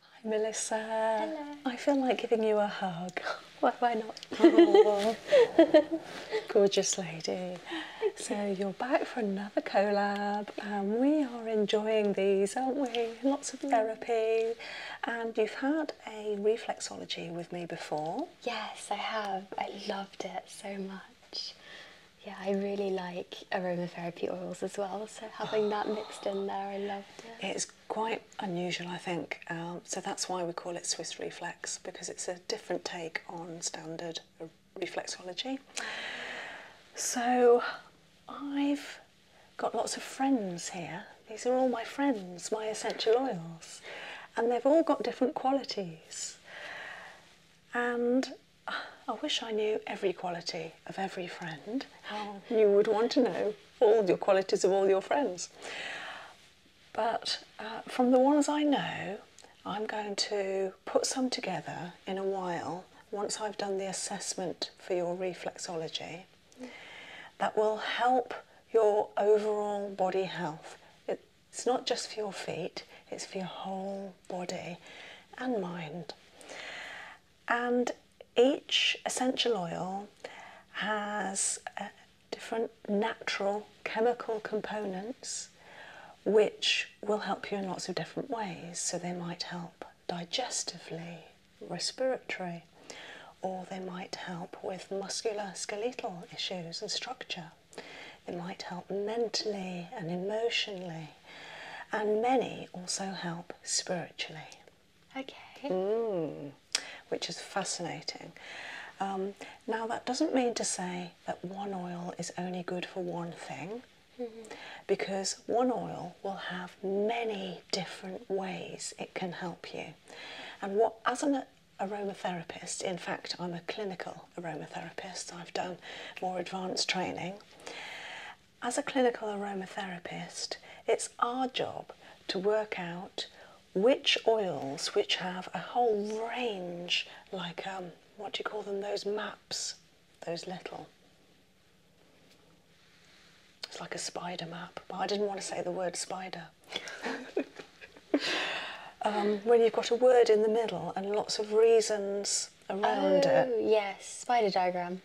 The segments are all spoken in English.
Hi, Melissa. Hello. I feel like giving you a hug. why not? gorgeous lady. So you're back for another collab and we are enjoying these, aren't we? Lots of mm. therapy and you've had a reflexology with me before. Yes, I have. I loved it so much. Yeah, I really like aromatherapy oils as well, so having that mixed in there, I loved it. It's quite unusual, I think. Um, so that's why we call it Swiss reflex because it's a different take on standard reflexology. So I've got lots of friends here. These are all my friends, my essential oils, and they've all got different qualities. And uh, I wish I knew every quality of every friend, mm-hmm. you would want to know all your qualities of all your friends. But uh, from the ones I know, I'm going to put some together in a while once I've done the assessment for your reflexology. That will help your overall body health. It's not just for your feet, it's for your whole body and mind and each essential oil has uh, different natural chemical components which will help you in lots of different ways. So, they might help digestively, respiratory, or they might help with musculoskeletal issues and structure. They might help mentally and emotionally, and many also help spiritually. Okay. Mm, which is fascinating. Um, now, that doesn't mean to say that one oil is only good for one thing. Mm-hmm. Because one oil will have many different ways it can help you. And what, as an aromatherapist, in fact, I'm a clinical aromatherapist, I've done more advanced training, as a clinical aromatherapist, it's our job to work out which oils, which have a whole range, like um, what do you call them, those maps, those little. It's like a spider map, but I didn't want to say the word spider. Um, when you've got a word in the middle and lots of reasons around oh, it. yes, spider diagram.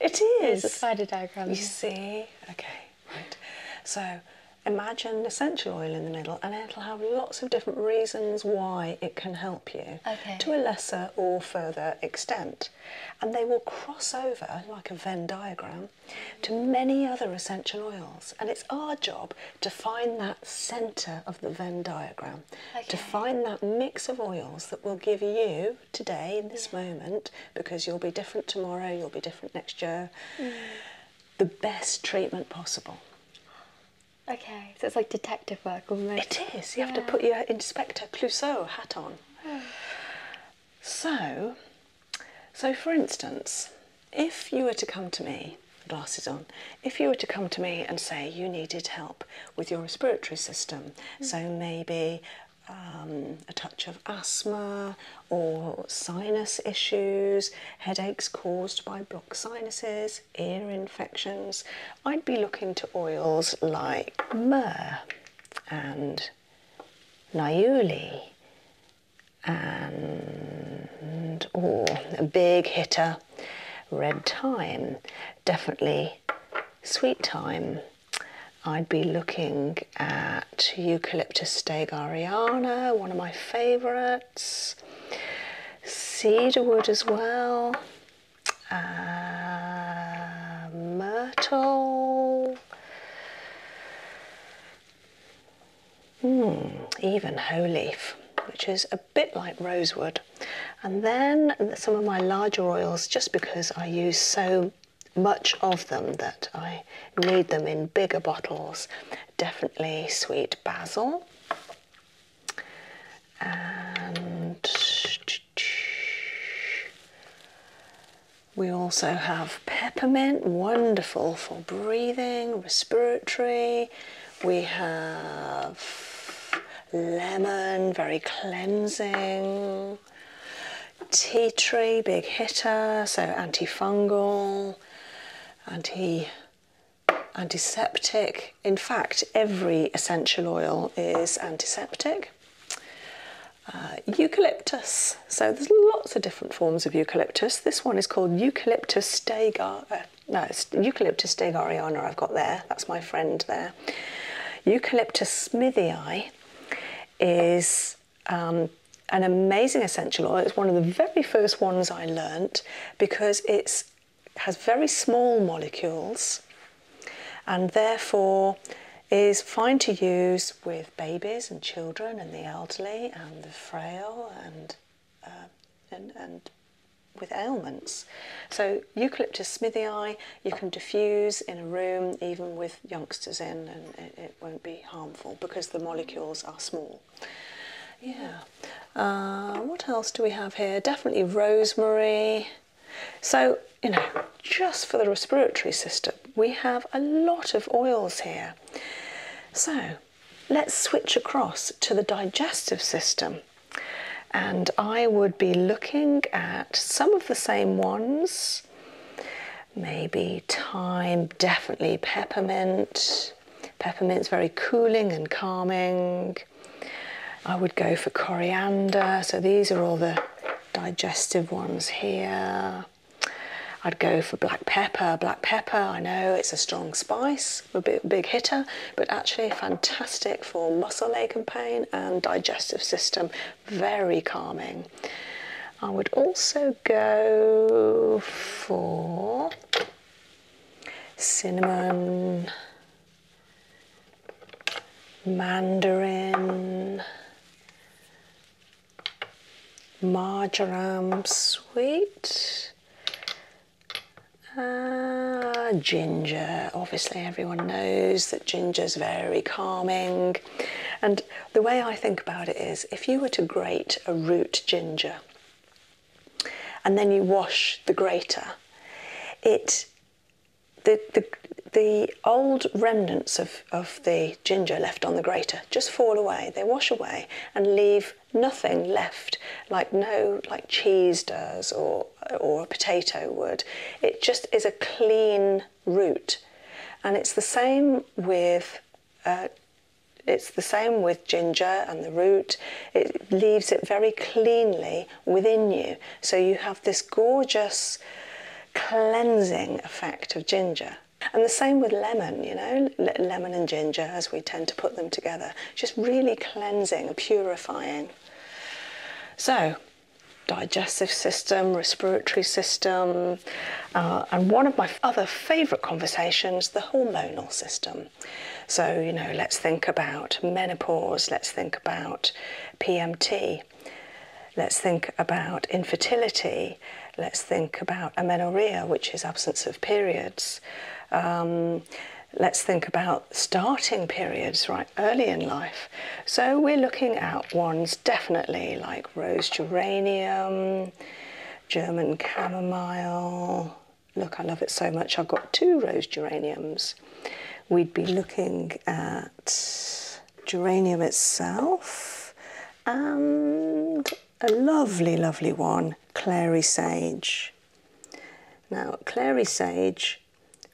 It is. a spider diagram. You see? Okay, right. So imagine essential oil in the middle and it'll have lots of different reasons why it can help you to a lesser or further extent. And they will cross over, like a Venn diagram, to many other essential oils. And it's our job to find that centre of the Venn diagram, to find that mix of oils that will give you today in this moment because you'll be different tomorrow, you'll be different next year. Mm. The best treatment possible. Okay, so it's like detective work almost. It is. You have to put your Inspector Clouseau hat on. So, so for instance, if you were to come to me, glasses on, if you were to come to me and say you needed help with your respiratory system, mm. so maybe um, a touch of asthma or sinus issues, headaches caused by blocked sinuses, ear infections, I'd be looking to oils like myrrh and Naiuli and oh, a big hitter, red thyme, definitely sweet thyme I'd be looking at Eucalyptus stegariana, one of my favourites, cedarwood as well, uh, myrtle, mm, even hoe leaf, which is a bit like rosewood. And then some of my larger oils, just because I use so much of them that I need them in bigger bottles. Definitely sweet basil and we also have peppermint, wonderful for breathing, respiratory. We have lemon, very cleansing. Tea tree, big hitter, so antifungal, anti antiseptic. In fact, every essential oil is antiseptic. Uh, eucalyptus. So there's lots of different forms of eucalyptus. This one is called Eucalyptus stagar. Uh, no, Eucalyptus stegariana. I've got there. That's my friend there. Eucalyptus smithii is um, an amazing essential oil. It's one of the very first ones I learnt because it has very small molecules and therefore is fine to use with babies and children and the elderly and the frail and, uh, and with ailments. So eucalyptus smithii you can diffuse in a room, even with youngsters in, and it, won't be harmful because the molecules are small. Yeah. Uh, what else do we have here? Definitely rosemary. So, you know, just for the respiratory system, we have a lot of oils here. So, let's switch across to the digestive system. And I would be looking at some of the same ones maybe thyme, definitely peppermint. Peppermint's very cooling and calming. I would go for coriander, so these are all the digestive ones here. I'd go for black pepper. Black pepper, I know it's a strong spice, a big, big hitter, but actually fantastic for muscle ache and pain and digestive system very calming. I would also go for cinnamon, mandarin, marjoram sweet, uh, ginger. Obviously, everyone knows that ginger is very calming. And the way I think about it is if you were to grate a root ginger and then you wash the grater, it the, the, the old remnants of, of the ginger left on the grater just fall away. They wash away and leave nothing left, like no like cheese does or or a potato would. It just is a clean root. And it's the same with uh, it's the same with ginger and the root. It leaves it very cleanly within you. So you have this gorgeous cleansing effect of ginger. And the same with lemon, you know, lemon and ginger as we tend to put them together. Just really cleansing, purifying. So digestive system, respiratory system, uh, and one of my other favourite conversations, the hormonal system. So, you know, let's think about menopause, let's think about PMT, let's think about infertility, let's think about amenorrhea, which is absence of periods. Um, let's think about starting periods, right? early in life. So we're looking at ones definitely like rose geranium, German chamomile. Look, I love it so much. I've got two rose geraniums. We'd be looking at geranium itself and a lovely, lovely one, clary sage. Now, clary sage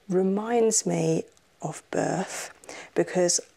reminds me of birth because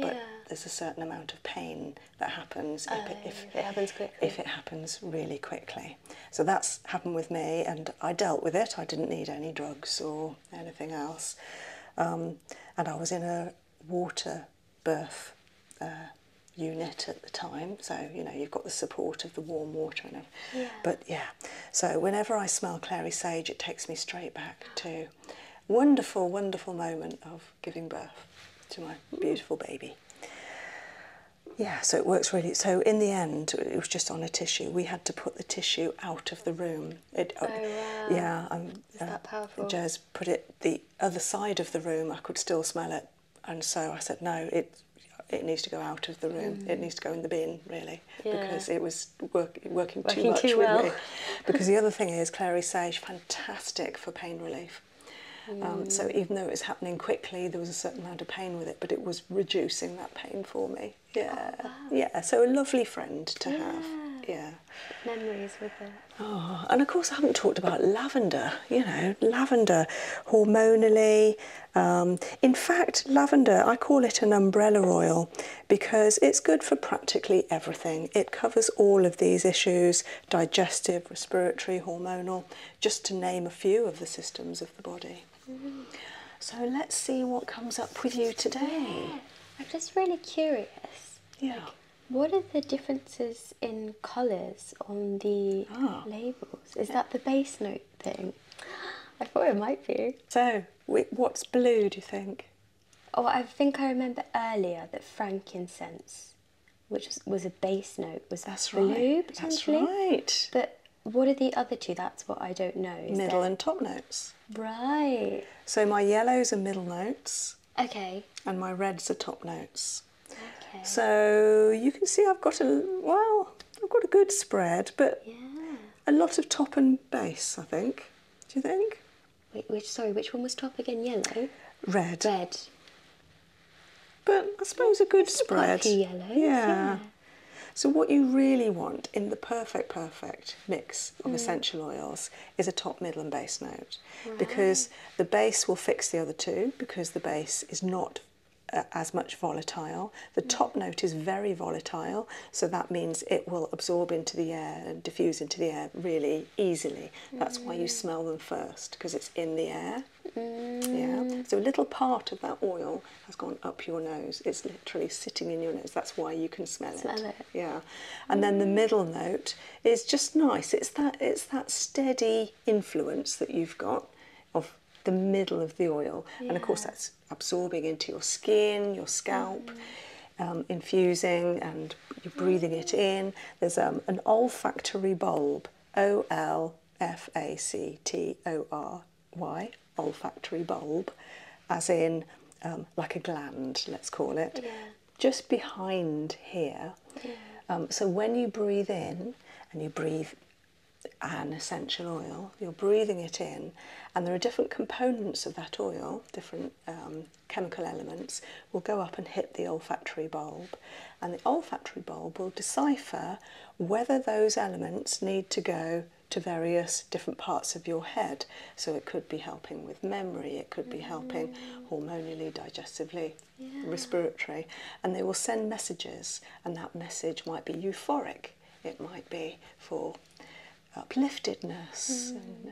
but there's a certain amount of pain that happens oh, if, it, happens really quickly. So that's happened with me, and I dealt with it. I didn't need any drugs or anything else. Um, and I was in a water birth uh, unit at the time, so you know you've got the support of the warm water Yeah. But yeah, so whenever I smell clary sage, it takes me straight back to wonderful, wonderful moment of giving birth to my beautiful baby. Yeah, so it works really. So in the end, it was just on a tissue. We had to put the tissue out of the room. Uh, oh, wow. Yeah. Um, Is uh, that powerful? Jez put it the other side of the room. I could still smell it. And so I said, no, it, it needs to go out of the room. It mm. needs to go in the bin, really, because it was working, too much well. with me. Because the other thing is, Clary Sage." fantastic for pain relief. Um, mm. so even though it was happening quickly, there was a certain amount of pain with it, but it was reducing that pain for me. Oh, yeah, yeah. So a lovely friend to have. Yeah. Memories with it. Oh, and of course I haven't talked about lavender. You know, lavender, hormonally. Um, in fact, lavender, I call it an umbrella oil because it's good for practically everything. It covers all of these issues digestive, respiratory, hormonal, just to name a few of the systems of the body. Mm. So let's see what comes up with you today. I'm just really curious. Yeah. what are the differences in colours on the ah. labels? Is that the bass note thing? I thought it might be. So, what's blue, do you think? Oh, I think I remember earlier that frankincense, which was a base note, was that's blue right. potentially. That's right. But what are the other two? That's what I don't know. middle and top notes. Right. So my yellows are middle notes. Okay. And my reds are top notes. Okay. So you can see I've got a well, I've got a good spread, but a lot of top and base, I think. Do you think? which sorry, which one was top again? Yellow. Red. Red. But I suppose a good spread. A yellow. Yeah. So what you really want in the perfect, perfect mix of mm. essential oils is a top, middle and base note because the base will fix the other two because the base is not uh, as much volatile. The mm. top note is very volatile, so that means it will absorb into the air and diffuse into the air really easily. That's why you mm. smell them first because it's in the air. Mm. Yeah. So a little part of that oil has gone up your nose. It's literally sitting in your nose. That's why you can smell, smell it. Yeah. And then the mm. middle note is just nice. It's that it's that steady influence that you've got of the middle of the oil. And of course that's absorbing into your skin, your scalp. Um, infusing and you're breathing it in. There's um, an olfactory bulb, O L F A C T O R Y, olfactory bulb, as in um, like a gland, let's call it, just behind here. so when you breathe in and you breathe an essential oil, you're breathing it in, and there are different components of that oil, different chemical elements will go up and hit the olfactory bulb, and the olfactory bulb will decipher whether those elements need to go to various different parts of your head. So it could be helping with memory, it could be helping hormonally, digestively, respiratory, and they will send messages, and that message might be euphoric, it might be for upliftedness, hmm.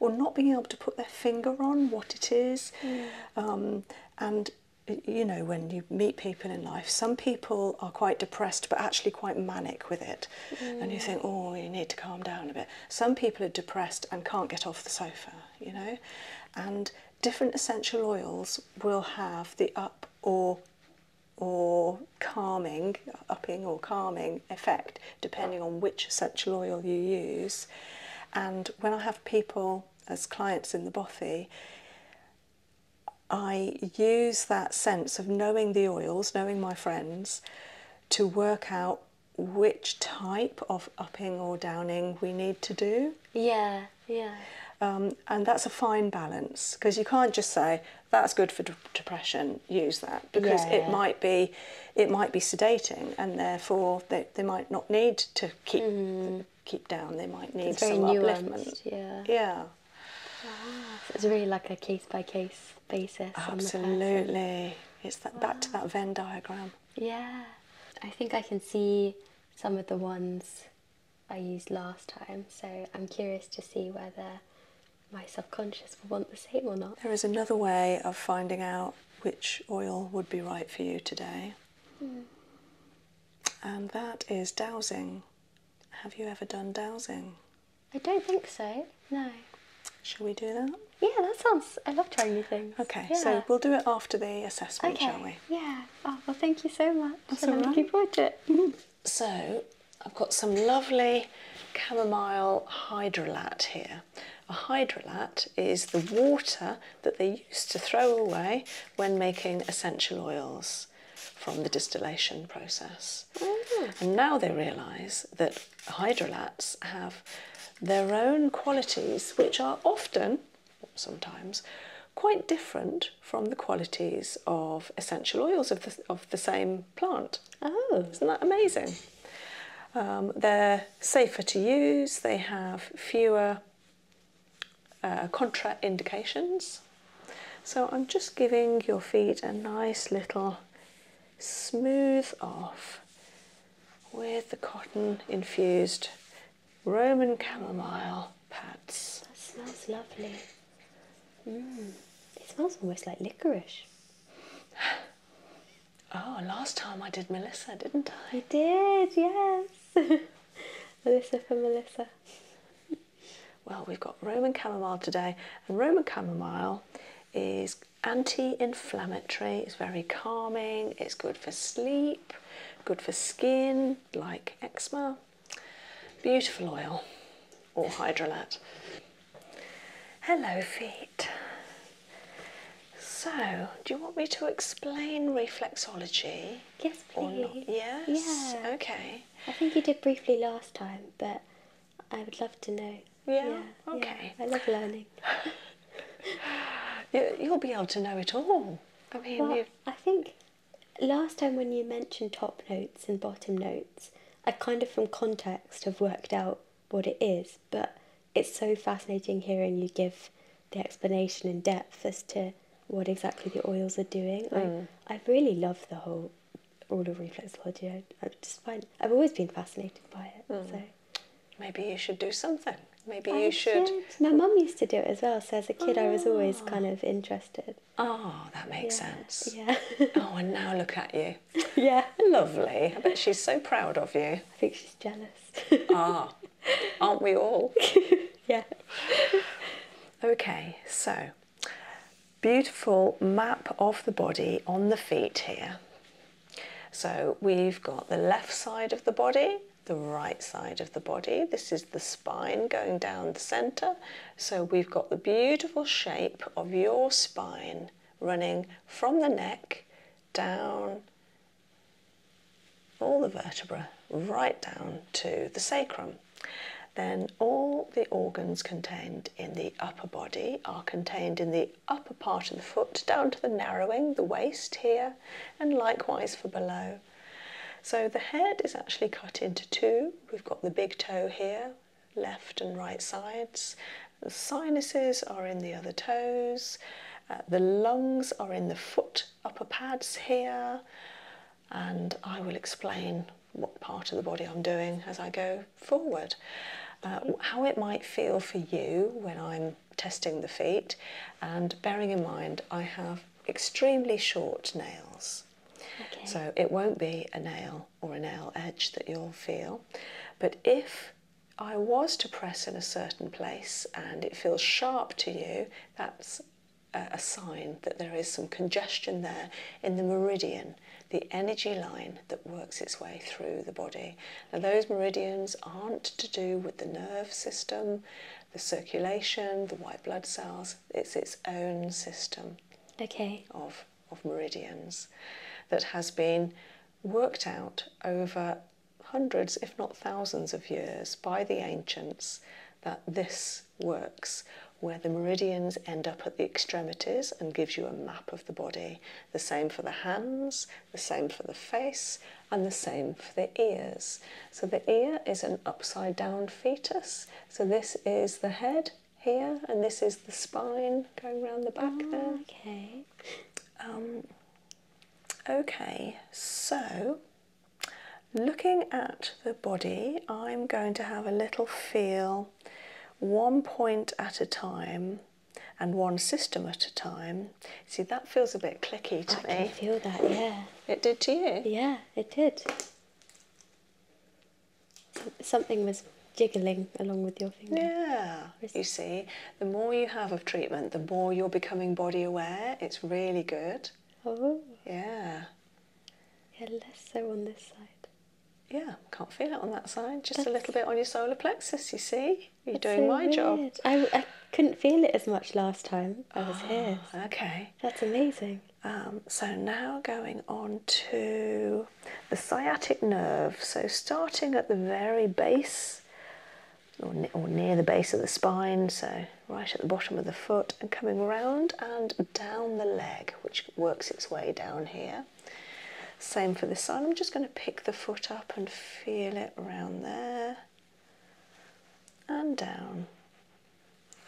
or not being able to put their finger on what it is. Mm. Um, and you know, when you meet people in life, some people are quite depressed but actually quite manic with it. And you think, oh, you need to calm down a bit. Some people are depressed and can't get off the sofa, you know. And different essential oils will have the up or or calming, upping or calming effect, depending on which essential oil you use. And when I have people as clients in the bothy, I use that sense of knowing the oils, knowing my friends, to work out which type of upping or downing we need to do. Yeah, yeah. Um, and that's a fine balance because you can't just say that's good for depression, use that because it might be it might be sedating, and therefore they, they might not need to keep mm-hmm. keep down. They might need some upliftment. Yeah. Yeah. it's really like a case by case basis. Absolutely. It's that back to that Venn diagram. Yeah. I think I can see some of the ones I used last time, so I'm curious to see whether my subconscious will want the same or not. There is another way of finding out which oil would be right for you today. Hmm. And that is dowsing. Have you ever done dowsing? I don't think so, no. Shall we do that? Yeah, that sounds. I love trying new things. Okay, so we'll do it after the assessment, shall we? Yeah. Oh, well, thank you so much. That's I'm looking forward to it. so, I've got some lovely chamomile hydrolat here. A hydrolat is the water that they used to throw away when making essential oils from the distillation process. Mm. And now they realise that hydrolats have their own qualities, which are often, sometimes, quite different from the qualities of essential oils of the, of the same plant. Oh, isn't that amazing? Um, their safer to use, they have fewer uh, contraindications. So I'm just giving your feet a nice little smooth off with the cotton infused Roman chamomile pads. That smells lovely. Mm. It smells almost like licorice. Oh, last time I did Melissa, didn't I? I did, yes. Melissa for Melissa. Well, we've got Roman chamomile today, and Roman chamomile is anti-inflammatory. It's very calming. It's good for sleep, good for skin, like eczema. Beautiful oil, or hydrolat. Hello, feet. So, do you want me to explain reflexology? Yes, please. Yes? Yeah. Okay. I think you did briefly last time, but I would love to know. Yeah, okay. I love learning. You'll be able to know it all. I mean, I think last time when you mentioned top notes and bottom notes, I kind of from context have worked out what it is, but it's so fascinating hearing you give the explanation in depth as to what exactly the oils are doing. I, mm. I really love the whole oral reflexology. I, I just find I've always been fascinated by it. Mm. So maybe you should do something. Maybe you should. My mum used to do it as well. So as a kid, I was always ah. kind of interested. Oh, that makes sense. Yeah. oh, and now look at you. yeah. Lovely. I bet she's so proud of you. I think she's jealous ah, aren't we all? yeah. Okay, so beautiful map of the body on the feet here. So we've got the left side of the body, the right side of the body. This is the spine going down the center. So we've got the beautiful shape of your spine running from the neck down all the vertebra right down to the sacrum. Then all the organs contained in the upper body are contained in the upper part of the foot down to the narrowing, the waist here, and likewise for below. So the head is actually cut into two. We've got the big toe here, left and right sides. The sinuses are in the other toes. Uh, the lungs are in the foot upper pads here, and I will explain what part of the body I'm doing as I go forward. Uh, how it might feel for you when I'm testing the feet, and bearing in mind I have extremely short nails. So it won't be a nail or a nail edge that you'll feel, but if I was to press in a certain place and it feels sharp to you, that's a, sign that there is some congestion there in the meridian, the energy line that works its way through the body. Now, those meridians aren't to do with the nerve system, the circulation, the white blood cells, it's its own system okay. of, of meridians that has been worked out over hundreds, if not thousands, of years by the ancients that this works, where the meridians end up at the extremities and gives you a map of the body. The same for the hands, the same for the face, and the same for the ears. So the ear is an upside down fetus. So this is the head here, and this is the spine going round the back ah, there. Um, Okay, so looking at the body, I'm going to have a little feel, one point at a time and one system at a time. See, that feels a bit clicky to me. I feel that, yeah. It did to you? Yeah, it did. Something was jiggling along with your finger. Yeah, you see the more you have of treatment, the more you're becoming body aware. It's really good. Oh. Yeah. Yeah, less so on this side. Yeah, can't feel it on that side. Just a little bit on your solar plexus, you see? You're doing my job. I, couldn't feel it as much last time I was ah, here. Okay. That's amazing. Um, so now going on to the sciatic nerve. So starting at the very base or, near the base of the spine, so right at the bottom of the foot, and coming round and down the leg, which works its way down here. Same for the side. I'm just going to pick the foot up and feel it around there and down.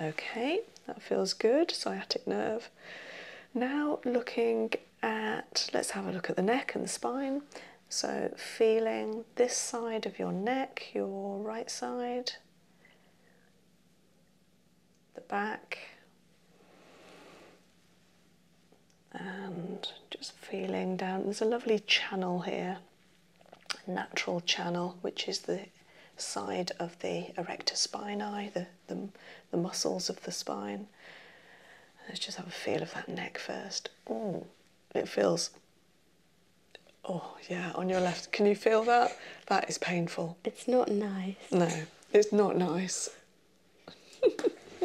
Okay, that feels good. Sciatic nerve. Now, looking at let's have a look at the neck and the spine. So, feeling this side of your neck, your right side, the back, and just feeling down. There's a lovely channel here, natural channel, which is the side of the erector spinae, the, the, muscles of the spine. Let's just have a feel of that neck first. Ooh, mm, it feels Oh, yeah, on your left. Can you feel that? That is painful. It's not nice. No, it's not nice.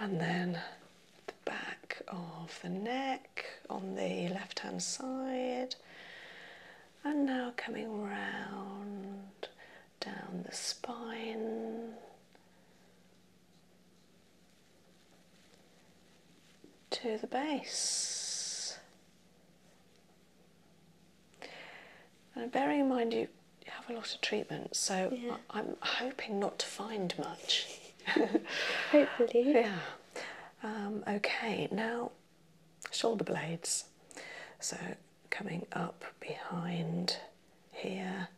and then the back of the neck on the left hand side. And now coming round down the spine to the base. and bearing in mind you have a lot of treatment, so I, am hoping not to find much. Hopefully. Yeah. Um, okay, now shoulder blades. So coming up behind here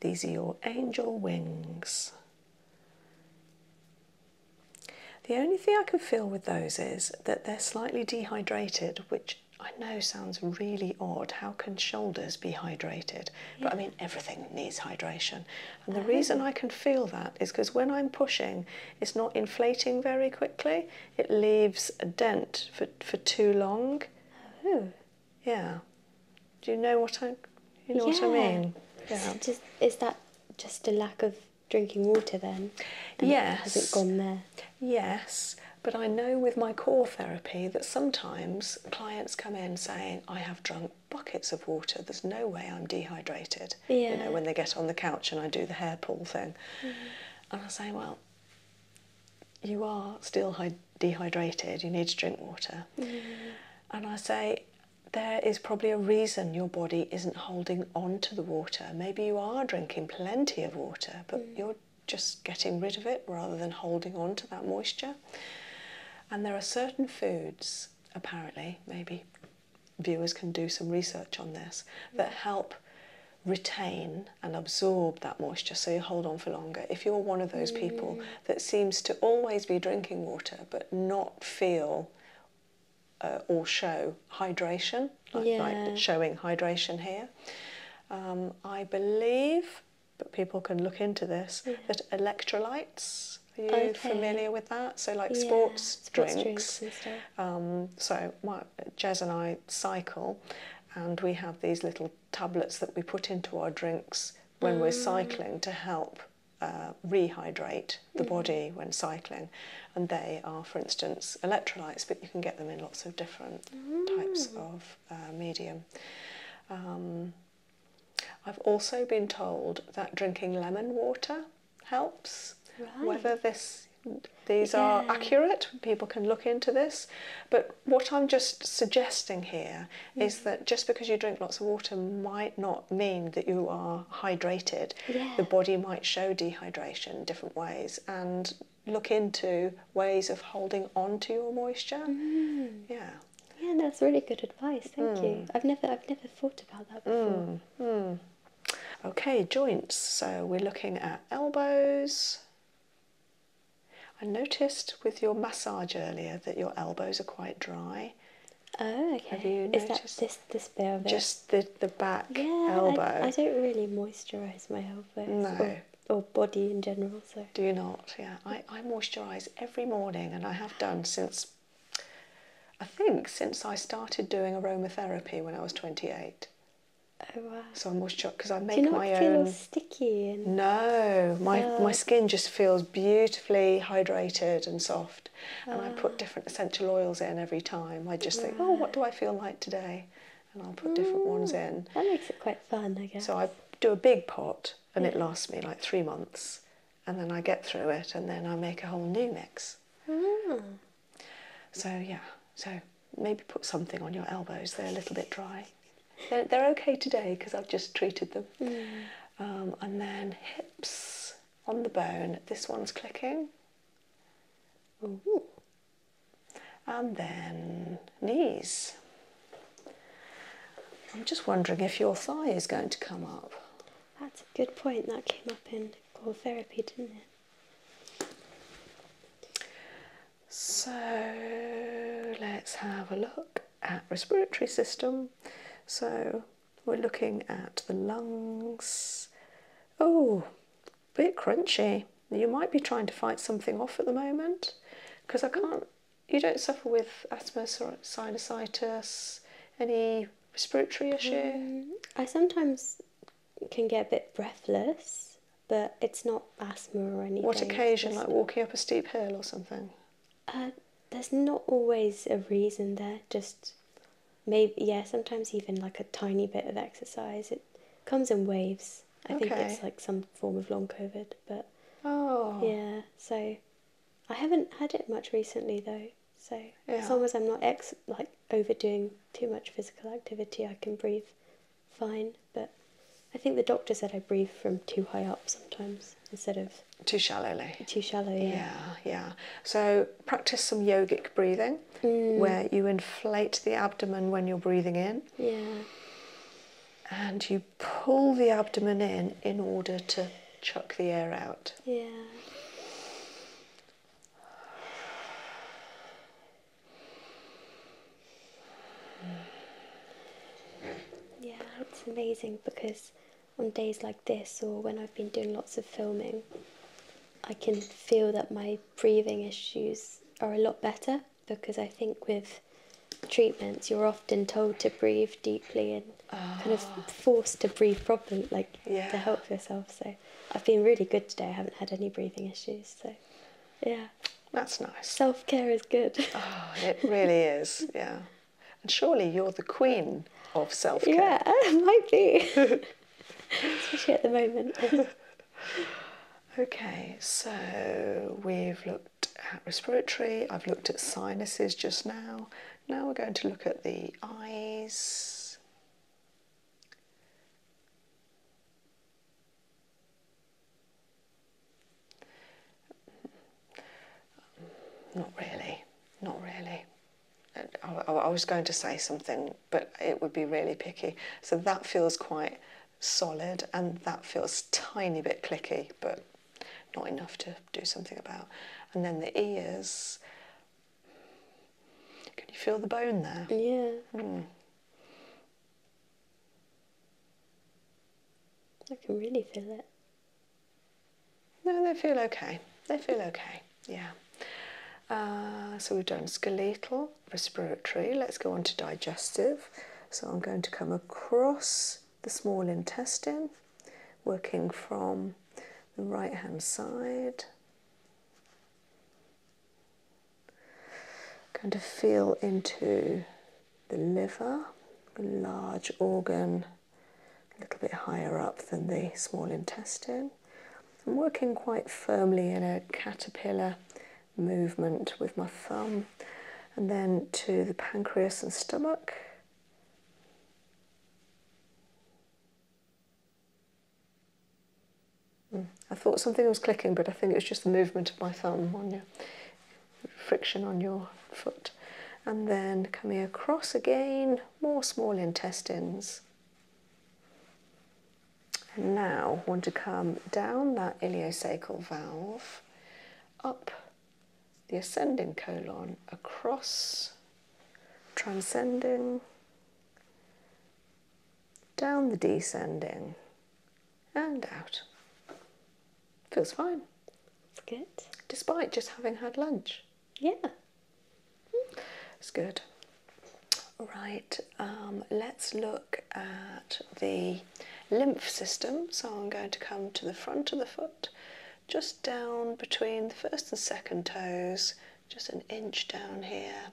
these are your angel wings. The only thing I can feel with those is that they're slightly dehydrated, which I know sounds really odd. How can shoulders be hydrated? But I mean, everything needs hydration. And the reason I can feel that is because when I'm pushing, it's not inflating very quickly, it leaves a dent for, for too long. Oh. Yeah. Do you know what I? You know what I mean? Yeah. just, is that just a lack of drinking water then? And yes. Has it gone there? Yes. But I know with my core therapy that sometimes clients come in saying, I have drunk buckets of water, there's no way I'm dehydrated. Yeah. You know, when they get on the couch and I do the hair pull thing. Mm-hmm. And I say, Well, you are still dehydrated, you need to drink water. Mm-hmm and I say, there is probably a reason your body isn't holding on to the water. Maybe you are drinking plenty of water, but mm. you're just getting rid of it rather than holding on to that moisture. And there are certain foods, apparently, maybe viewers can do some research on this, mm. that help retain and absorb that moisture so you hold on for longer. If you're one of those people mm that seems to always be drinking water but not feel uh, or show hydration, yeah. showing hydration here. Um, I believe, but people can look into this, that electrolytes. Are you familiar with that? So, like yeah, sports, sports, drinks. drinks um, so, my, Jez and I cycle, and we have these little tablets that we put into our drinks when we're mm. cycling to help uh, rehydrate the mm. body when cycling, and they are, for instance, electrolytes, but you can get them in lots of different types mm. of uh, medium. Um, I've also been told that drinking lemon water helps. Whether this these are accurate, people can look into this, but what I'm just suggesting here is that just because you drink lots of water might not mean that you are hydrated. Yeah. The body might show dehydration different ways and look into ways of holding on to your moisture. Mm. Yeah. Yeah, that's really good advice. Thank you. Mm. I've never I've never thought about that before. Mm, okay, joints. So we're looking at elbows. I noticed with your massage earlier that your elbows are quite dry. Oh, okay. Is noticed? that this this bit Just the the back elbow. I, I don't really moisturise my elbow. No. Or, body in general. So. Do you not? Yeah. I I moisturise every morning, and I have done since. I think since I started doing aromatherapy when I was twenty eight. Oh wow! So I'm moisturised because I make Do you not my feel Sticky no, my my skin just feels beautiful beautifully hydrated and soft. And I put different essential oils in every time. I just think, oh, what do I feel like today? And I'll put different ones mm. in. That makes it quite fun, I guess. So I do a big pot and it lasts me like three months. And then I get through it and then I make a whole new mix. Mm. So, yeah, so maybe put something on your elbows. They're a little bit dry. They're, okay today because I've just treated them. Mm. Um, and then hips on the bone. This one's clicking. And then knees. I'm just wondering if your thigh is going to come up. That's a good point. That came up in core therapy, didn't it? So let's have a look at uh, respiratory system. So we're looking at the lungs. Oh, bit crunchy. You might be trying to fight something off at the moment because I hmm. can't. You don't suffer with asthma, sinusitis, any respiratory hmm. issue. I sometimes can get a bit breathless, but it's not asthma or anything. What occasion? like walking up a steep hill or something. Uh, there's not always a reason there, just maybe, yeah, sometimes even like a tiny bit of exercise. It comes in waves. I think it's like some form of long COVID, but. Oh. Yeah, so I haven't had it much recently though. So as long as I'm not ex like overdoing too much physical activity, I can breathe fine. But I think the doctor said I breathe from too high up sometimes instead of too shallowly. Too shallow, yeah. Yeah, So practice some yogic breathing mm. where you inflate the abdomen when you're breathing in. Yeah. And you pull the abdomen in in order to chuck the air out. Yeah. Yeah, it's amazing because on days like this or when I've been doing lots of filming, I can feel that my breathing issues are a lot better because I think with treatments you're often told to breathe deeply and kind of ah. forced to breathe properly like to help yourself so I've been really good today I haven't had any breathing issues so yeah that's nice self-care is good oh it really is yeah and surely you're the queen of self care. Yeah, I might be. Especially at the moment. okay, so we've looked at respiratory, I've looked at sinuses just now. Now we're going to look at the eyes. Not really, not really. I, was going to say something, but it would be really picky. So that feels quite solid, and that feels tiny bit clicky, but not enough to do something about. And then the ears. Can you feel the bone there? Yeah. Hmm. I can really feel it. No, they feel okay. They feel okay. Yeah. Uh, so we've done skeletal, respiratory. Let's go on to digestive. So I'm going to come across the small intestine, working from the right hand side. Going to feel into the liver, the large organ a little bit higher up than the small intestine. I'm working quite firmly in a caterpillar movement with my thumb and then to the pancreas and stomach. Hmm. I thought something was clicking, but I think it was just the movement of my thumb on your friction on your foot. And then coming across again, more small intestines. now want to come down that ileocecal valve, up the ascending colon, across, transcending, down the descending, and out. Feels fine. Good. Despite just having had lunch. Yeah, it's good. All right, um, let's look at the lymph system. So I'm going to come to the front of the foot, just down between the first and second toes, just an inch down here.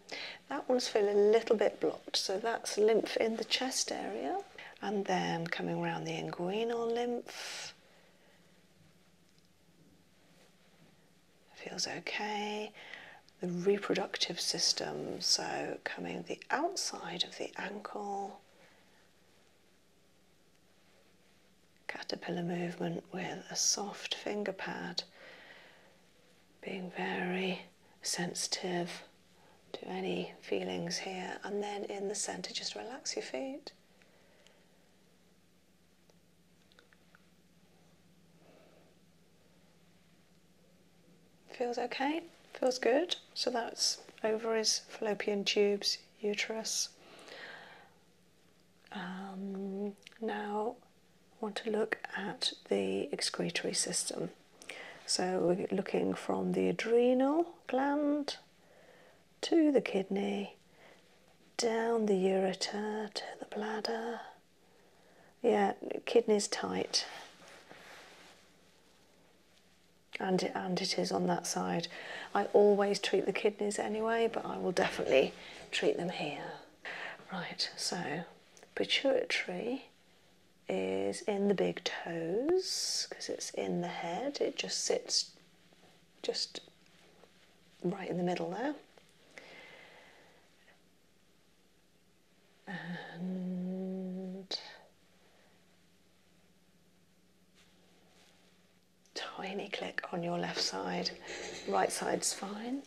That one's feeling a little bit blocked, so that's lymph in the chest area. And then coming around the inguinal lymph, feels okay. The reproductive system, so coming the outside of the ankle, caterpillar movement with a soft finger pad, being very sensitive to any feelings here, and then in the center, just relax your feet. Feels okay, feels good. So that's ovaries, fallopian tubes, uterus. Um, now want to look at the excretory system. So we're looking from the adrenal gland to the kidney, down the ureter to the bladder. Yeah, kidneys tight. And and it is on that side. I always treat the kidneys anyway, but I will definitely treat them here. Right, so pituitary is in the big toes because it's in the head. It just sits just right in the middle there. And tiny click on your left side, right side's fine.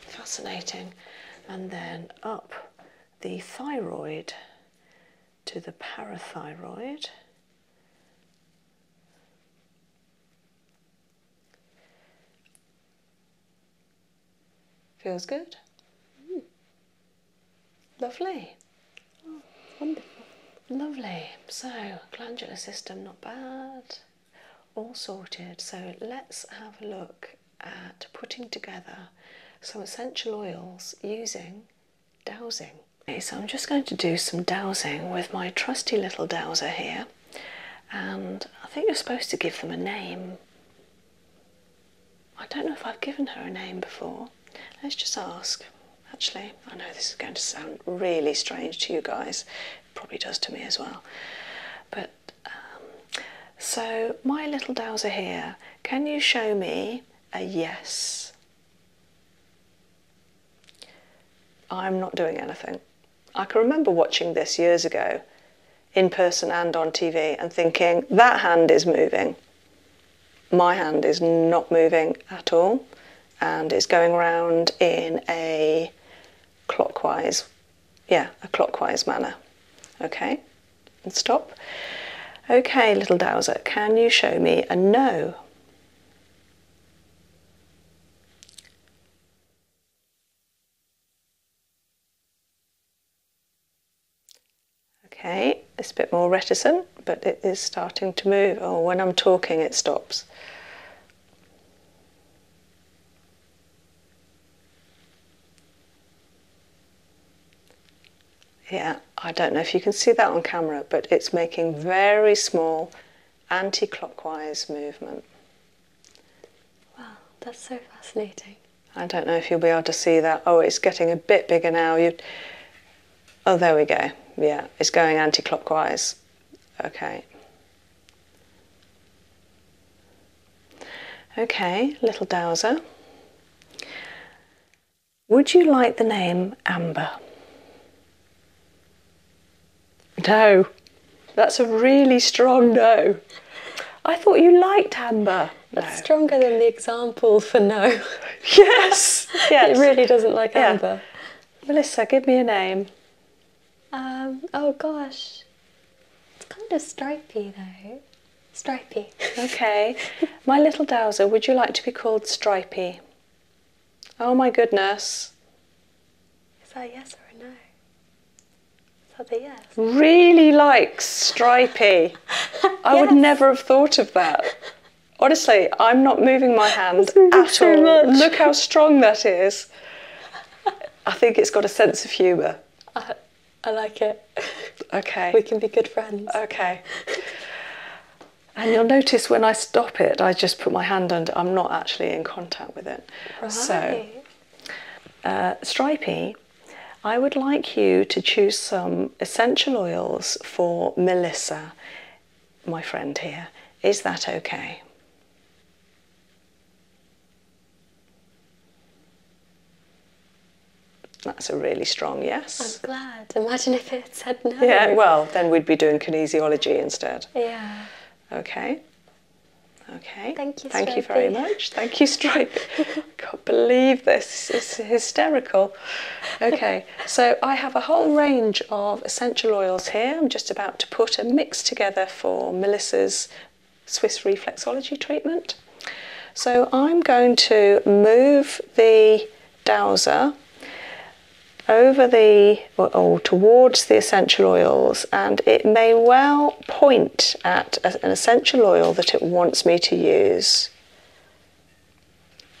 Fascinating. And then up the thyroid to the parathyroid. Feels good? Lovely. Oh, wonderful. Lovely. So, glandular system, not bad. All sorted. So, let's have a look at putting together some essential oils using dowsing so I'm just going to do some dowsing with my trusty little dowser here, and I think you're supposed to give them a name. I don't know if I've given her a name before. Let's just ask. Actually, I know this is going to sound really strange to you guys, it probably does to me as well. But um, so, my little dowser here, can you show me a yes I'm not doing anything. I can remember watching this years ago, in person and on TV, and thinking, that hand is moving. My hand is not moving at all, and it's going around in a clockwise, yeah, a clockwise manner. Okay, and stop. Okay, little Dowser, can you show me a no? Okay, it's a bit more reticent, but it is starting to move. Oh, when I'm talking, it stops. Yeah, I don't know if you can see that on camera, but it's making very small anti-clockwise movement. Wow, that's so fascinating. I don't know if you'll be able to see that. Oh, it's getting a bit bigger now. Oh, there we go. Yeah, it's going anti-clockwise. Okay. Okay, little dowser. Would you like the name Amber? No, that's a really strong no. I thought you liked Amber. That's stronger than the example for no. yes, It really doesn't like Amber. Melissa, give me a name. Um, oh gosh. It's kind of stripy though. Stripy. okay. My little dowser, would you like to be called Stripy? Oh my goodness. Is that yes or a no? Is that yes? Really likes stripy. I would never have thought of that. Honestly, I'm not moving my hand at all. Look how strong that is. I think it's got a sense of humour. I like it. Okay. We can be good friends. Okay. And you'll notice when I stop it, I just put my hand under, I'm not actually in contact with it. Right. So, uh, I would like you to choose some essential oils for Melissa, my friend here. Is that okay? That's a really strong yes. I'm glad. Imagine if it Yeah, well, then we'd be doing kinesiology instead. Yeah. Okay. Okay. Thank you. Thank you very much. Thank you, Stripe. I can't believe this. It's hysterical. Okay, so I have a whole range of essential oils here. I'm just about to put a mix together for Melissa's Swiss reflexology treatment. So I'm going to move the dowser over the or, towards the essential oils and it may well point at an essential oil that it wants me to use.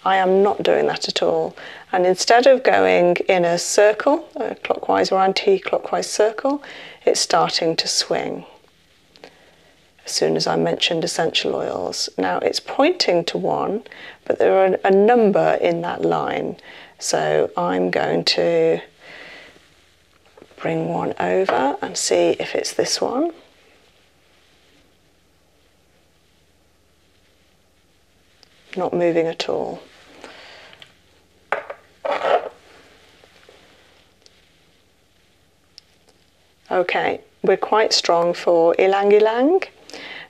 I am not doing that at all. And instead of going in a circle, a clockwise or anti-clockwise circle, it's starting to swing as soon as I mentioned essential oils. Now it's pointing to one but there are a number in that line. So I'm going to bring one over and see if it's this one. Not moving at all. Okay, we're quite strong for ylang ylang.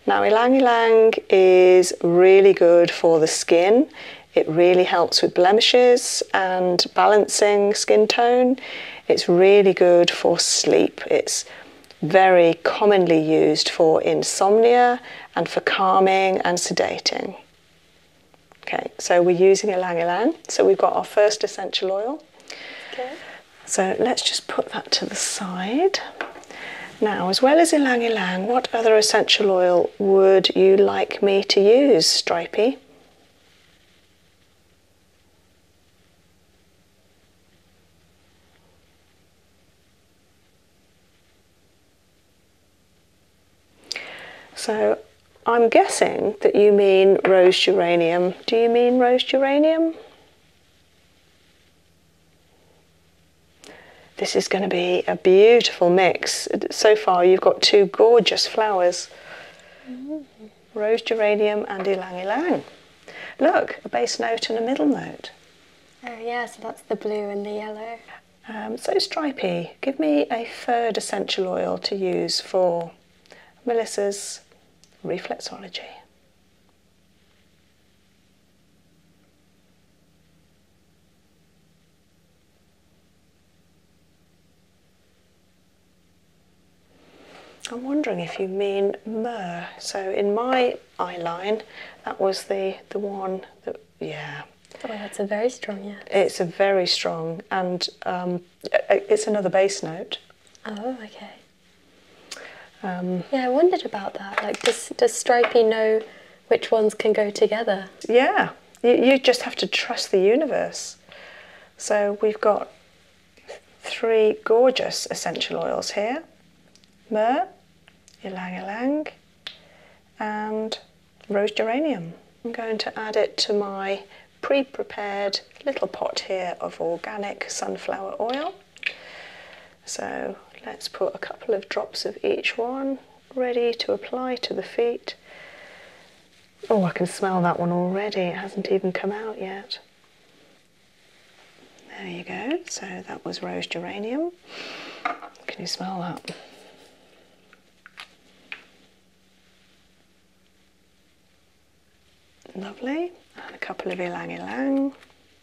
Now ylang ylang is really good for the skin. It really helps with blemishes and balancing skin tone. It's really good for sleep. It's very commonly used for insomnia and for calming and sedating. Okay, so we're using ylang ylang. So we've got our first essential oil. Okay. So let's just put that to the side. Now, as well as ylang ylang, what other essential oil would you like me to use, Stripey? So I'm guessing that you mean rose geranium. Do you mean rose geranium? This is going to be a beautiful mix. So far, you've got two gorgeous flowers mm-hmm. rose geranium and ylang ylang. Look, a base note and a middle note. Oh, yeah, so that's the blue and the yellow. Um, so, stripy. give me a third essential oil to use for Melissa's reflexology. I'm wondering if you mean myrrh. So in my eye line, that was the the one that yeah. Oh, that's a very strong yeah. It's a very strong, and um, it's another bass note. Oh, okay. Um, yeah, I wondered about that. Like, does, does Stripey know which ones can go together? Yeah, you, you just have to trust the universe. So we've got three gorgeous essential oils here. Myrrh, ylang ylang, and rose geranium. I'm going to add it to my pre-prepared little pot here of organic sunflower oil. So let's put a couple of drops of each one ready to apply to the feet. Oh, I can smell that one already, it hasn't even come out yet. There you go, so that was rose geranium. Can you smell that? Lovely, and a couple of ylang ylang.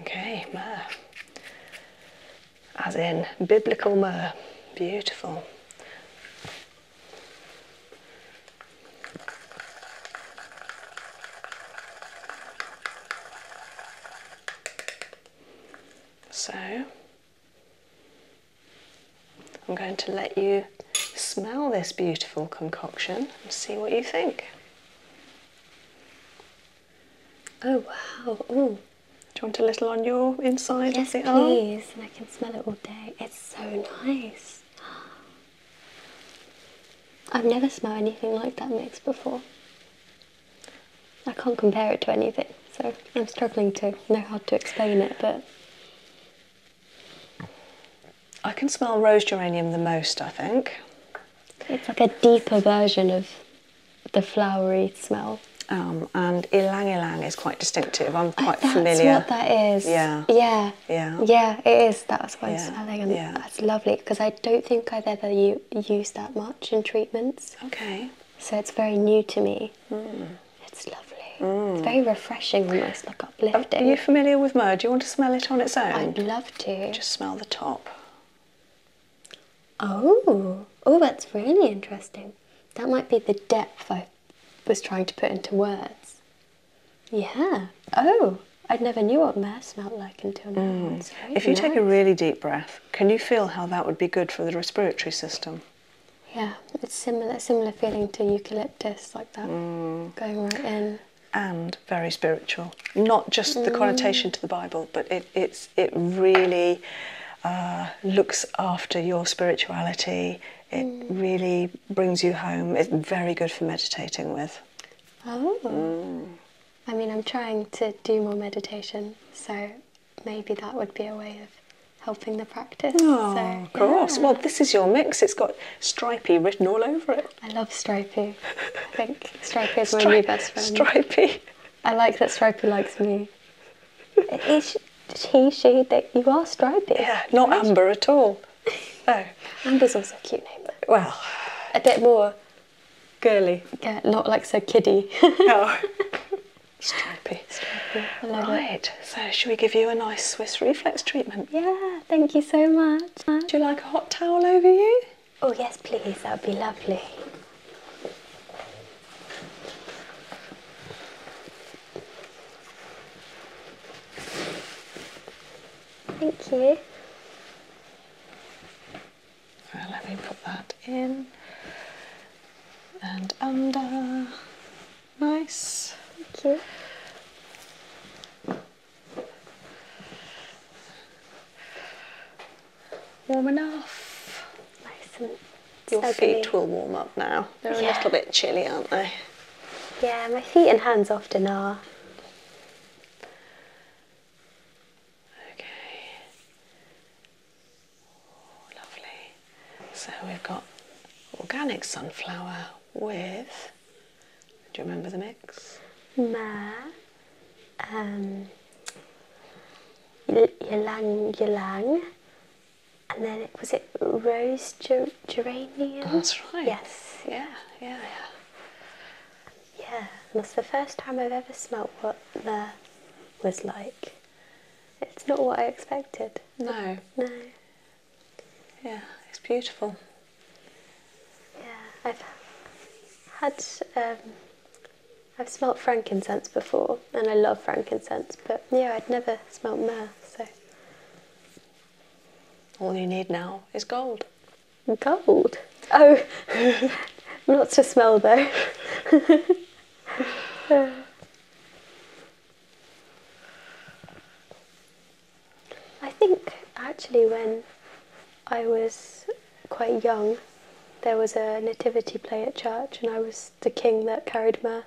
Okay, myrrh. As in biblical myrrh. Beautiful. So I'm going to let you smell this beautiful concoction and see what you think. Oh wow! Oh, do you want a little on your inside? Yes, please. And I can smell it all day. It's so nice. I've never smelled anything like that mix before. I can't compare it to anything, so I'm struggling to know how to explain it, but I can smell rose geranium the most, I think. It's like a deeper version of the flowery smell. Um, and ilang ilang is quite distinctive. I'm quite familiar. That's what that is. Yeah. Yeah. Yeah. Yeah, it is. That's what yeah. smelling, yeah. that's lovely because I don't think I've ever used that much in treatments. Okay. So it's very new to me. Hmm. It's lovely. Mm. It's very refreshing, almost like uplifting. Are you familiar with mud? Do you want to smell it on its own? I'd love to. Just smell the top. Oh, oh, that's really interesting. That might be the depth I was trying to put into words. Yeah. Oh, I never knew what mud smelled like until now. Mm. If you take a really deep breath, can you feel how that would be good for the respiratory system? Yeah, it's similar, similar feeling to eucalyptus get like that mm. going right in. And very spiritual. Not just the mm. connotation to the Bible, but it, it's, it really uh, looks after your spirituality. It mm. really brings you home. It's very good for meditating with. Oh. I mean, I'm trying to do more meditation, so maybe that would be a way of helping the practice. Of course. Well, this is your mix. It's got stripy written all over it. I love stripy. I think stripy is Stri my new best friend. Stripy. I like that stripy likes me. Is he, she, that you are stripy? Yeah, not Amber at all. No. Amber's also a cute name. Well, a bit more girly. Yeah, not like so kiddie. no. Stripy. Stripy. right. It. So, should we give you a nice Swiss reflex treatment? Yeah thank you so much. Would you like a hot towel over you? Oh, yes, please. That would be lovely. Thank you. let me put that in and under. Nice. Thank you. Warm enough. Nice and Your feet will warm up now. They're a little bit chilly, aren't they? Yeah, my feet and hands often are. Okay. lovely. So we've got organic sunflower, with, do you remember the mix? Ma, um, ylang ylang, and then it, was it rose geranium? That's right. Yes. Yeah, yeah, yeah. that's the first time I've ever smelt what the was like. It's not what I expected. No. No. Yeah, it's beautiful. Yeah, I've had um, I've smelt frankincense before, and I love frankincense, but yeah, I'd never smelt myrrh. So all you need now is gold. Gold. Oh, not to smell though. I think actually when I was quite young, there was a nativity play at church, and I was the king that carried my.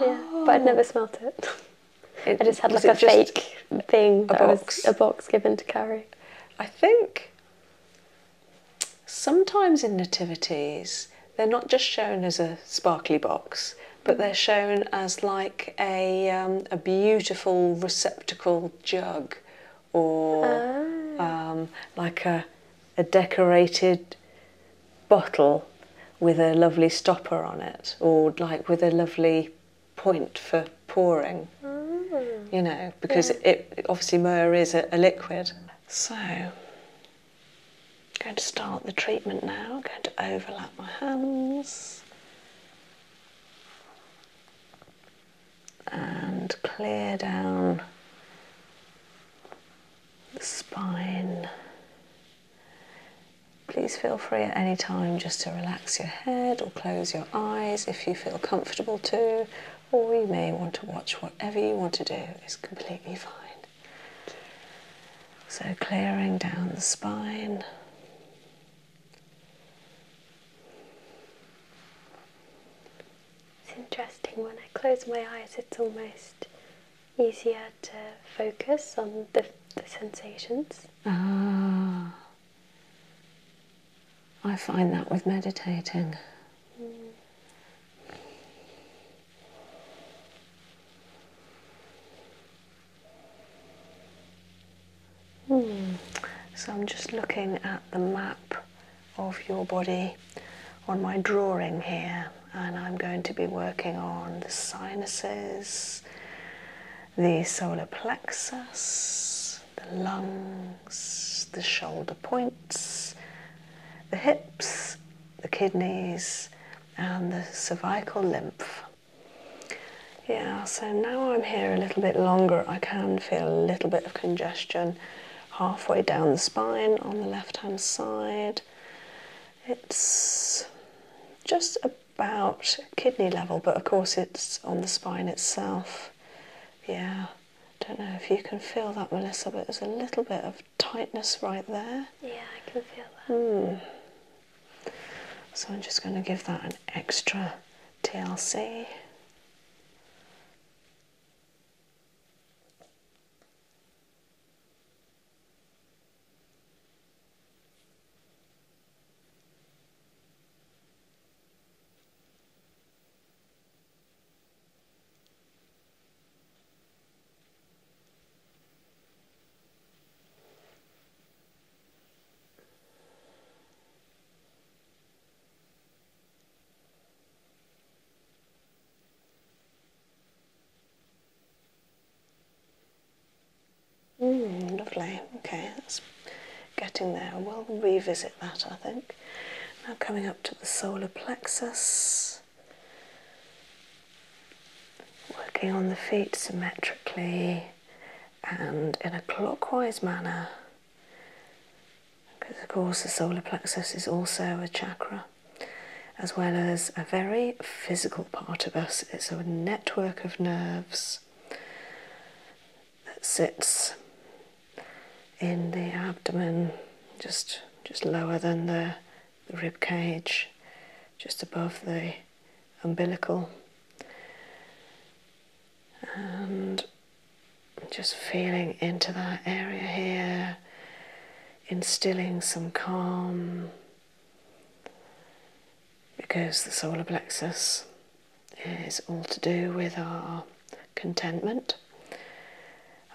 Yeah, but I'd never oh. smelt it. it I just had like a fake thing, a box. a box given to carry. I think sometimes in nativities they're not just shown as a sparkly box, but they're shown as like a, um, a beautiful receptacle jug or ah. um, like a, a decorated bottle with a lovely stopper on it or like with a lovely point for pouring. Ah. You know, because it obviously myrrh is a, a liquid. So I'm going to start the treatment now. I'm going to overlap my hands and clear down the spine. Please feel free at any time just to relax your head or close your eyes if you feel comfortable to, or you may want to watch whatever you want to do, it's completely fine. So clearing down the spine. It's interesting when I close my eyes, it's almost easier to focus on the, sensations. Ah, I find that with meditating. Hmm. Hmm. So I'm just looking at the map of your body on my drawing here, and I'm going to be working on the sinuses, the solar plexus, the lungs, the shoulder points, the hips, the kidneys, and the cervical lymph. Yeah, so now I'm here a little bit longer, I can feel a little bit of congestion halfway down the spine on the left hand side. It's just about kidney level, but of course, it's on the spine itself. Yeah, don't know if you can feel that, Melissa, but there's a little bit of tightness right there. Yeah, I can feel that. Hmm. So I'm just going to give that an extra TLC. Mm, lovely. Okay, that's getting there. We'll revisit that, I think. Now coming up to the solar plexus. Working on the feet symmetrically and in a clockwise manner, because of course the solar plexus is also a chakra, as well as a very physical part of us. It's a network of nerves that sits in the abdomen, just just lower than the, the rib cage, just above the umbilical. And just feeling into that area here, instilling some calm because the solar plexus is all to do with our contentment,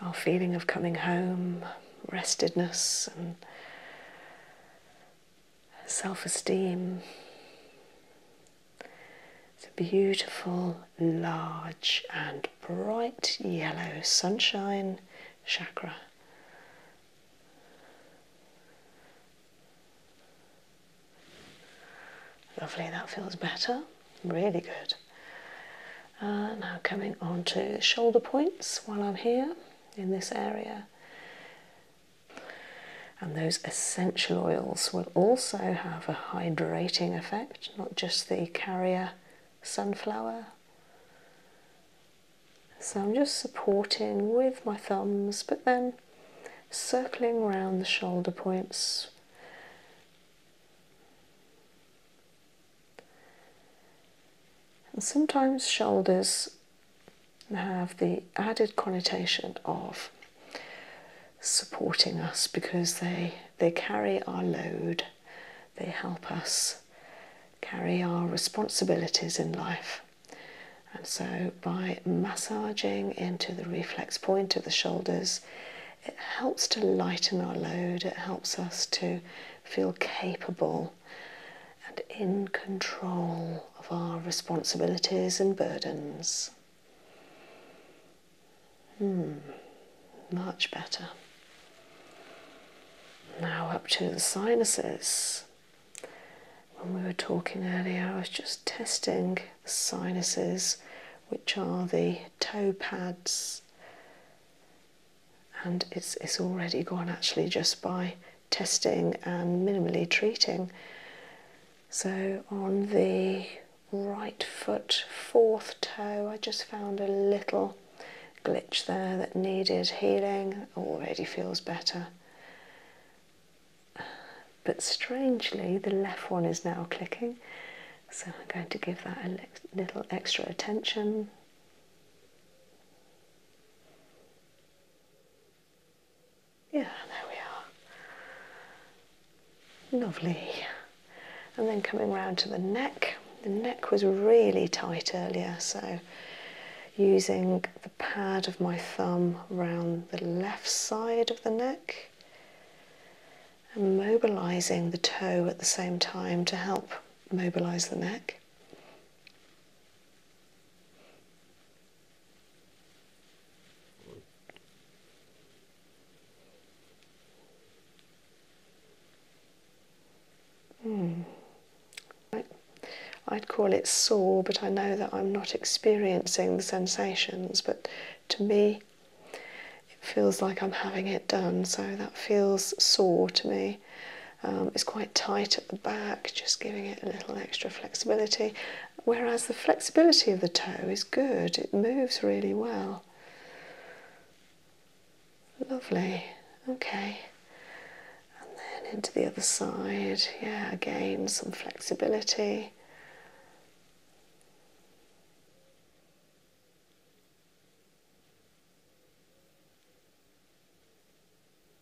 our feeling of coming home, restedness, and self esteem. It's a beautiful, large, and bright yellow sunshine chakra. Lovely, that feels better. Really good. Uh, now coming on to shoulder points while I'm here in this area. And those essential oils will also have a hydrating effect, not just the carrier sunflower. So I'm just supporting with my thumbs, but then circling around the shoulder points. And sometimes shoulders and have the added connotation of supporting us because they they carry our load, they help us carry our responsibilities in life. And so by massaging into the reflex point of the shoulders, it helps to lighten our load, it helps us to feel capable and in control of our responsibilities and burdens. Hmm, much better. Now up to the sinuses. When we were talking earlier, I was just testing the sinuses, which are the toe pads, and it's, it's already gone actually just by testing and minimally treating. So on the right foot, fourth toe, I just found a little glitch there that needed healing, already feels better. But strangely, the left one is now clicking, so I'm going to give that a little extra attention. Yeah, there we are. Lovely. And then coming round to the neck. The neck was really tight earlier, so using the pad of my thumb round the left side of the neck and mobilizing the toe at the same time to help mobilize the neck. Mm. I, would call it sore, but I know that I'm not experiencing the sensations. But to me, it feels like I'm having it done, so that feels sore to me. Um, it's quite tight at the back, just giving it a extra flexibility, whereas the flexibility of the toe is good, it moves really well. Lovely, okay. And then into the other side, yeah, again, some flexibility.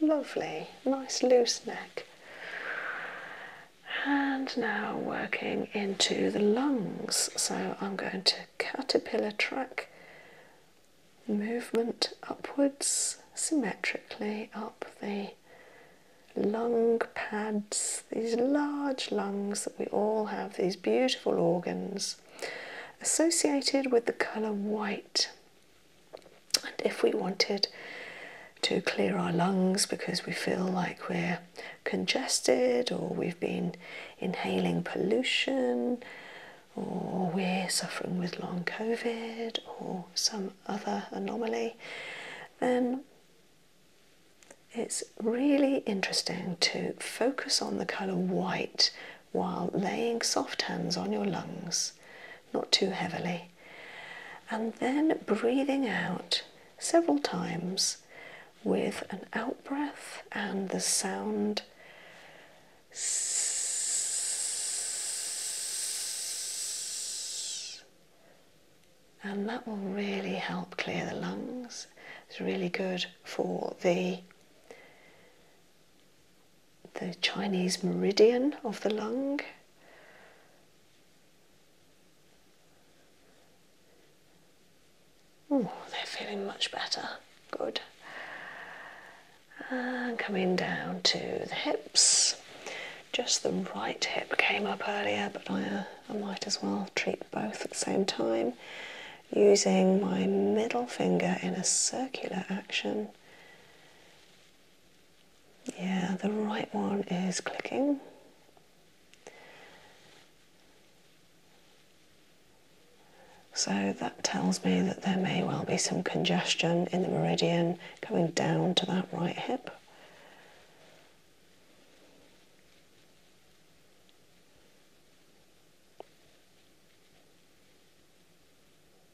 Lovely, nice loose neck. And now working into the lungs. So I'm going to caterpillar track movement upwards symmetrically up the lung pads, these large lungs that we all have, these beautiful organs associated with the colour white. And if we wanted to clear our lungs because we feel like we're congested or we've been inhaling pollution or we're suffering with long COVID or some other anomaly, then it's really interesting to focus on the colour white while laying soft hands on your lungs not too heavily. And then breathing out several times with an out breath and the sound. And that will really help clear the lungs. It's really good for the the Chinese meridian of the lung. Oh, they're feeling much better. Good. And coming down to the hips. Just the right hip came up earlier, but I, uh, I might as well treat both at the same time. Using my middle finger in a circular action yeah, the right one is clicking. So that tells me that there may well be some congestion in the meridian going down to that right hip.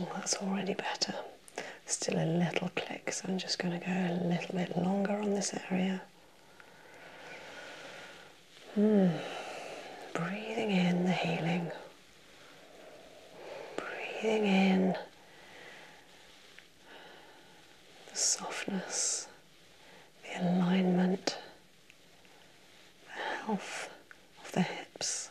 Oh, that's already better. Still a little click, so I'm just going to go a little bit longer on this area. Hmm. Breathing in the healing. Breathing in the softness, the alignment, the health of the hips.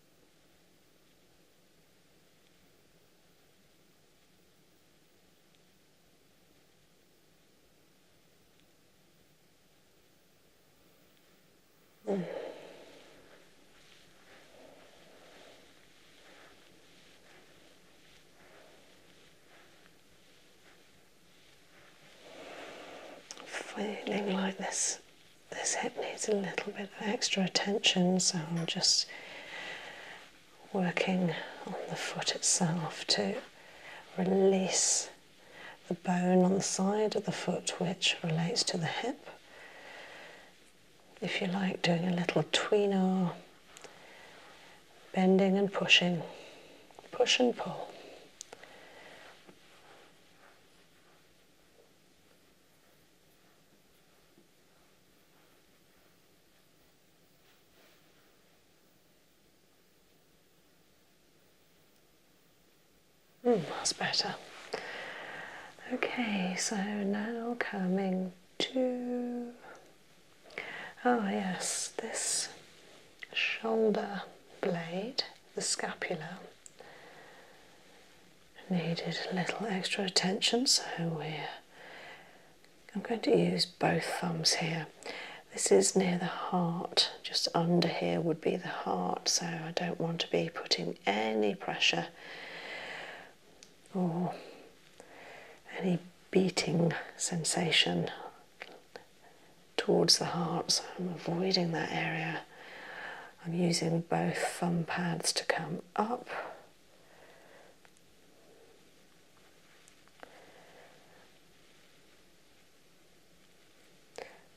Mm. Feeling like this this hip needs a little bit of extra attention, so I'm just working on the foot itself to release the bone on the side of the foot, which relates to the hip. If you like, doing a little tweener, bending and pushing, push and pull that's better. Okay, so now coming to. Oh, yes, this shoulder blade, the scapula, needed a little extra attention, so we're I'm going to use both thumbs here. This is near the heart, just under here would be the heart, so I don't want to be putting any pressure or any beating sensation towards the heart, so I'm avoiding that area. I'm using both thumb pads to come up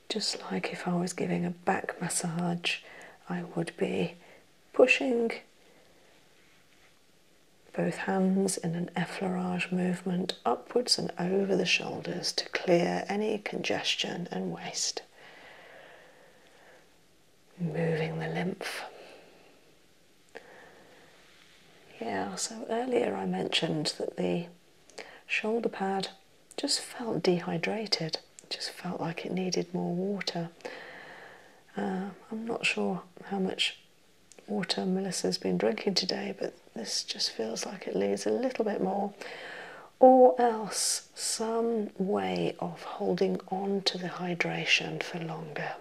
just like if I was giving a back massage, I would be pushing both hands in an effleurage movement upwards and over the shoulders to clear any congestion and waste moving the lymph. Yeah, so earlier I mentioned that the shoulder pad just felt dehydrated, just felt like it needed more water. Uh, I'm not sure how much water Melissa's been drinking today, but this just feels like it needs a little bit more, or else some way of holding on to the hydration for longer.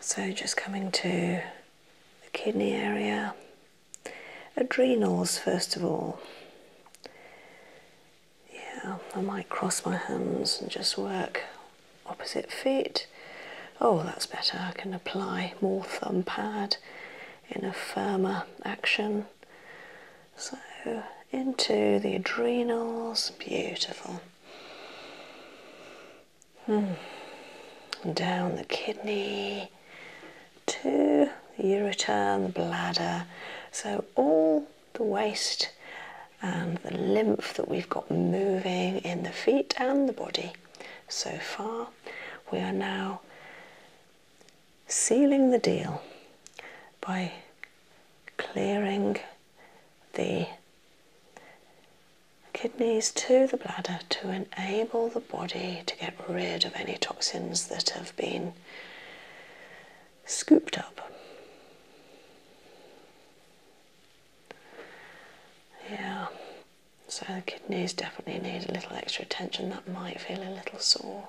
So, just coming to the kidney area, adrenals first of all. Yeah, I might cross my hands and just work opposite feet. Oh, that's better. I can apply more thumb pad in a firmer action. So into the adrenals, beautiful. Hmm. Down the kidney to the ureter and the bladder. So all the waist and um, the lymph that we've got moving in the feet and the body so far. We are now sealing the deal by clearing the kidneys to the bladder to enable the body to get rid of any toxins that have been scooped up. Yeah, so the kidneys definitely need a little extra attention. That might feel a little sore.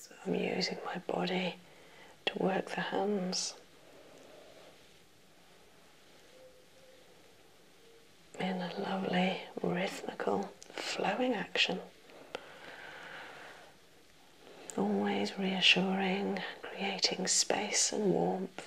So I'm using my body to work the hands. In a lovely, rhythmical, flowing action. Always reassuring, creating space and warmth.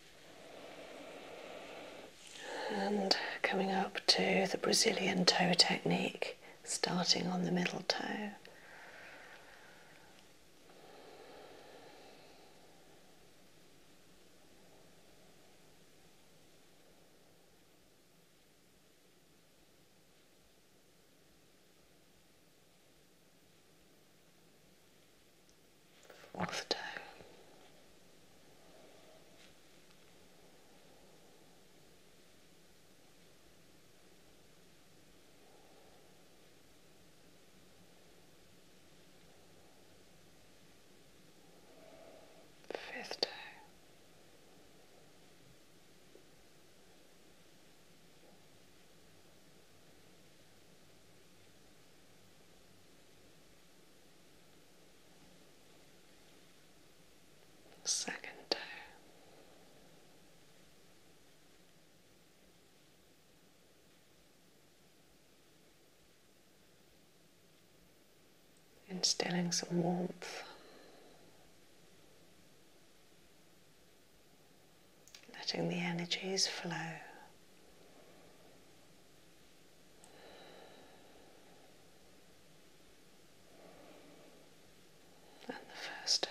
And coming up to the Brazilian toe technique, starting on the middle toe of the Fifth day second toe. Instilling some warmth. Letting the energies flow and the first toe.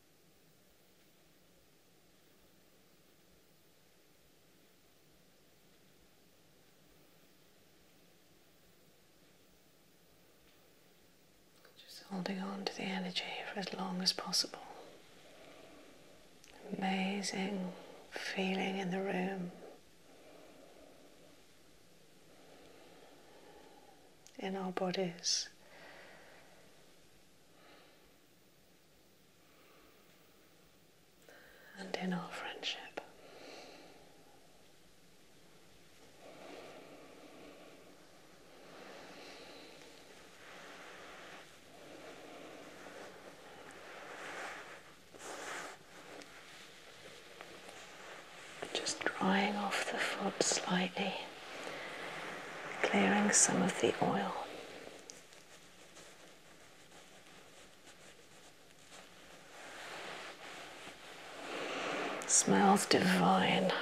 Just holding on to the energy for as long as possible. Amazing feeling in the room in our bodies. And in our friendship just drying off the foot slightly, clearing some of the oil. Smells divine.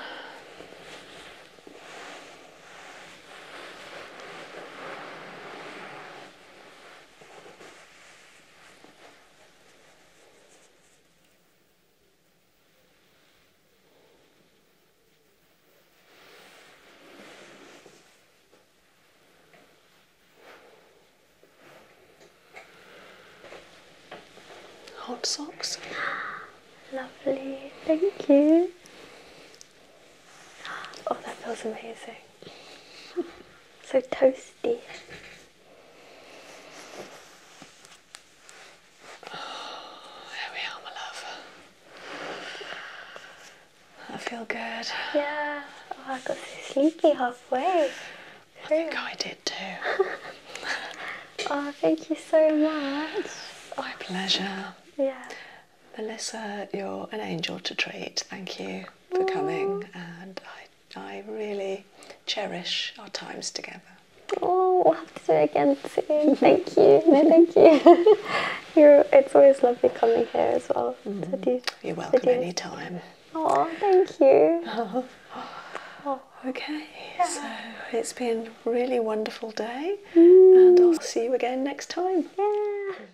Hot socks. Lovely, thank you. Oh, that feels amazing. so toasty. Oh, we are, my love. I feel good. Yeah. Oh, I got sleepy halfway. I think I did too. oh, thank you so much. My pleasure. Yeah. Melissa, you're an angel to treat. Thank you for coming, and I, I really cherish our times together. Oh, we'll have to do it again soon. Thank you. No, thank you. it's always lovely coming here as well. Mm. To mm-hmm. You're welcome anytime. Oh, thank you. Oh, okay, so it's been a really wonderful day, and mm. I'll see you again next time. Yeah.